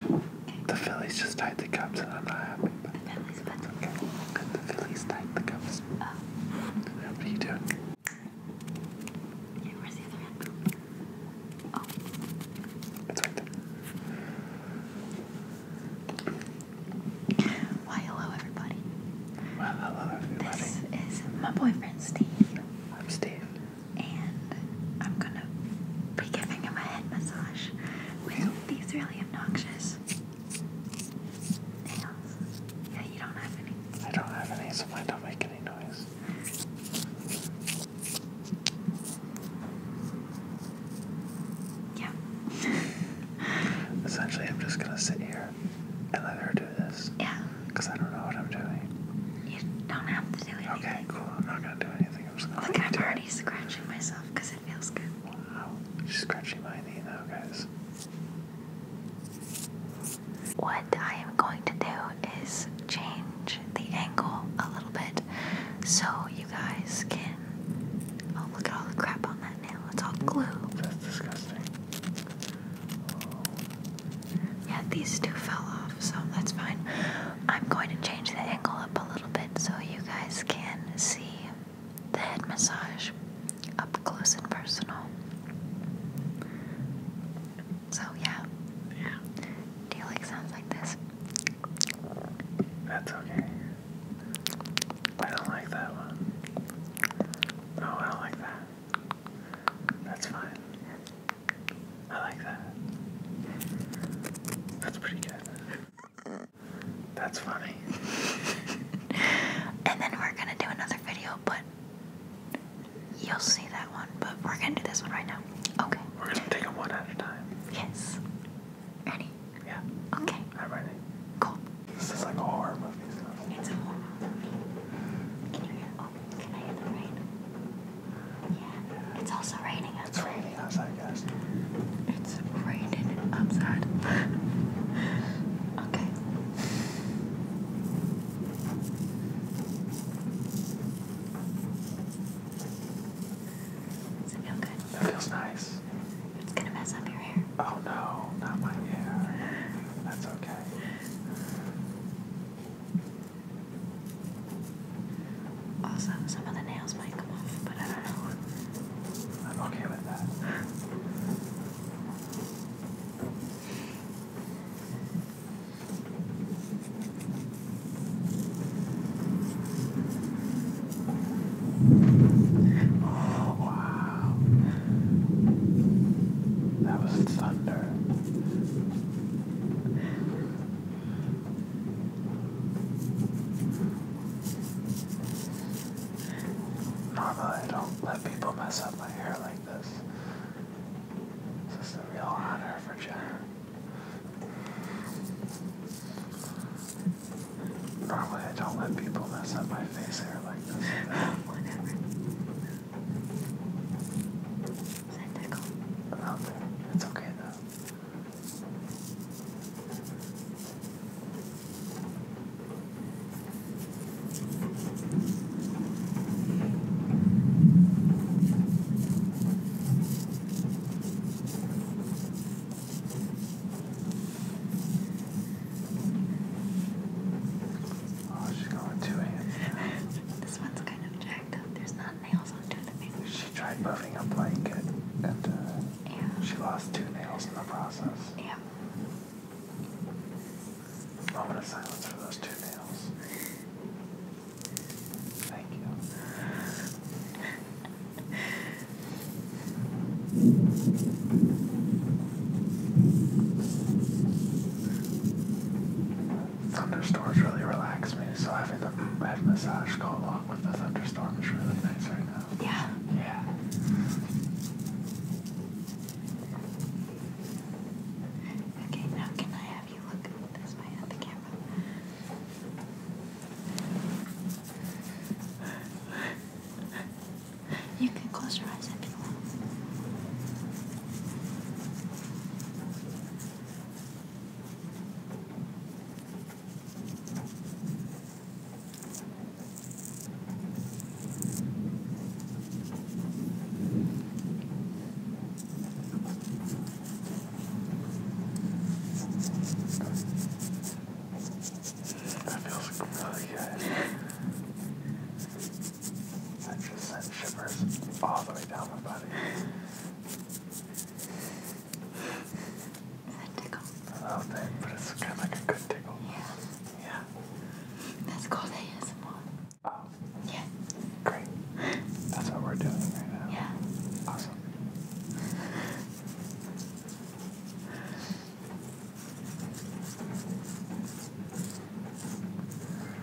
The Phillies just tied the Cubs, and I'm not happy. But the Phillies, tied the Cubs. Oh. What are you doing? Yeah, where's the other hand? Oh. Why, hello, everybody. Well, hello, everybody. This is my boyfriend, Steve. I'm Steve and I'm gonna be giving him a head massage with these really obnoxious nails. Yeah, you don't have any. I don't have any, so I don't make any noise. Yeah. Essentially, I'm just gonna sit here and let her do this. Yeah. Because I don't know what I'm doing. You don't have to do anything. Okay, cool. I'm not gonna do anything. Look, I'm already scratching myself because it feels good. Wow. She's scratching my knee now, guys. What I am going to do is change the angle a little bit so you guys can. Oh, look at all the crap on that nail. It's all glue. That's disgusting. Yeah, these two fell off, so that's fine. I'm going to change the angle up a little bit so you guys can see the head massage up close and personal. So, yeah. Yeah. Do you like sounds like this? That's okay. I don't like that one. No, oh, I don't like that. That's fine. I like that. That's pretty good. That's funny. and then we're gonna do another video, but you'll see that one. But we're gonna do this one right now. Okay. We're gonna take them one at a time. Yes. Ready? Yeah. Okay. I'm ready. Cool. This is like a horror movie. It's a horror movie. Can you hear? Oh, can I hear the rain? Yeah. It's also raining outside. It's raining outside, guys. It's raining outside. okay. Does it feel good? That feels nice. It's gonna mess up your hair. Oh no, not my hair. That's okay. Also, some of the nails might come off, but I don't know. I'm okay with that. Oh, wow. That was thunder. Normally I don't let people mess up my hair like this. This is a real honor for Jenner. Normally I don't let people mess up my face hair like this. It's okay though. Oh, she's going with two hands. this one's kind of jacked up. There's not she tried moving a blanket, and she lost two nails in the process. Yeah. Moment of silence for those two nails. Thank you. thunderstorms really relax me, so having the head massage go along with the thunderstorm is really nice right now. Yeah. Yeah. Okay, now can I have you look this way at the camera? You can close your eyes if you want. That feels really good. That just sent shivers all the way down my body. That tickle. A little bit, but it's kind of like a good tickle. Yeah. Yeah. That's called ASMR. Yeah. Great. That's what we're doing right now. Yeah. Awesome.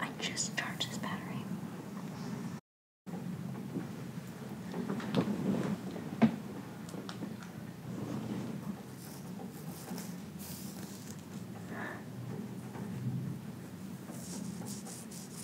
I just charged this battery.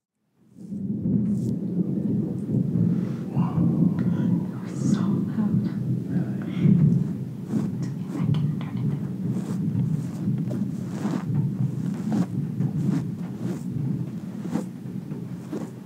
It was so loud. Really? Let's see if I can turn it down.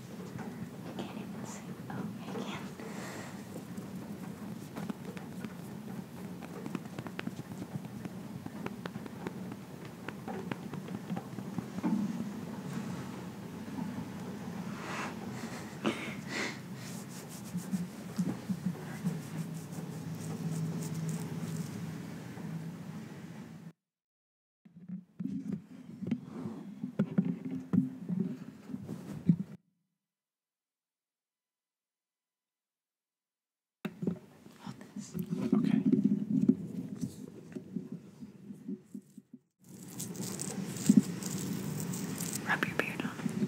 Can it listen? Oh, I can. Hold this. Okay. Rub your beard on it.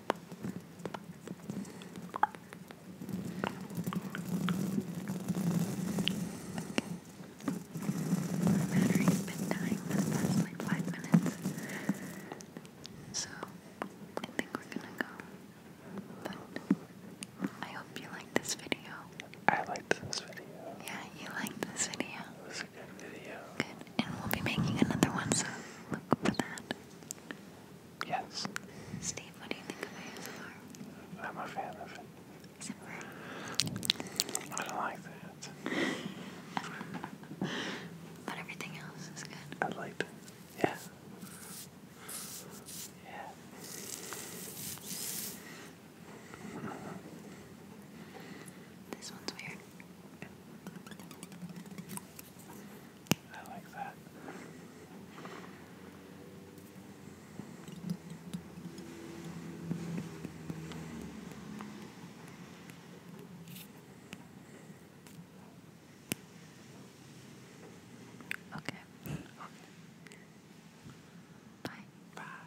My battery's been dying for the past like five minutes. So I think we're gonna go. I hope you liked this video. I liked this video. Yeah, you liked this video. It was a good video. Good. And we'll be making another one, so look for that. Yes. Steve, what do you think of ASMR? I'm a fan of it I don't like that. but everything else is good. I like that. Yeah. Yeah. This one's weird. I like that. Okay. okay. Bye. Bye.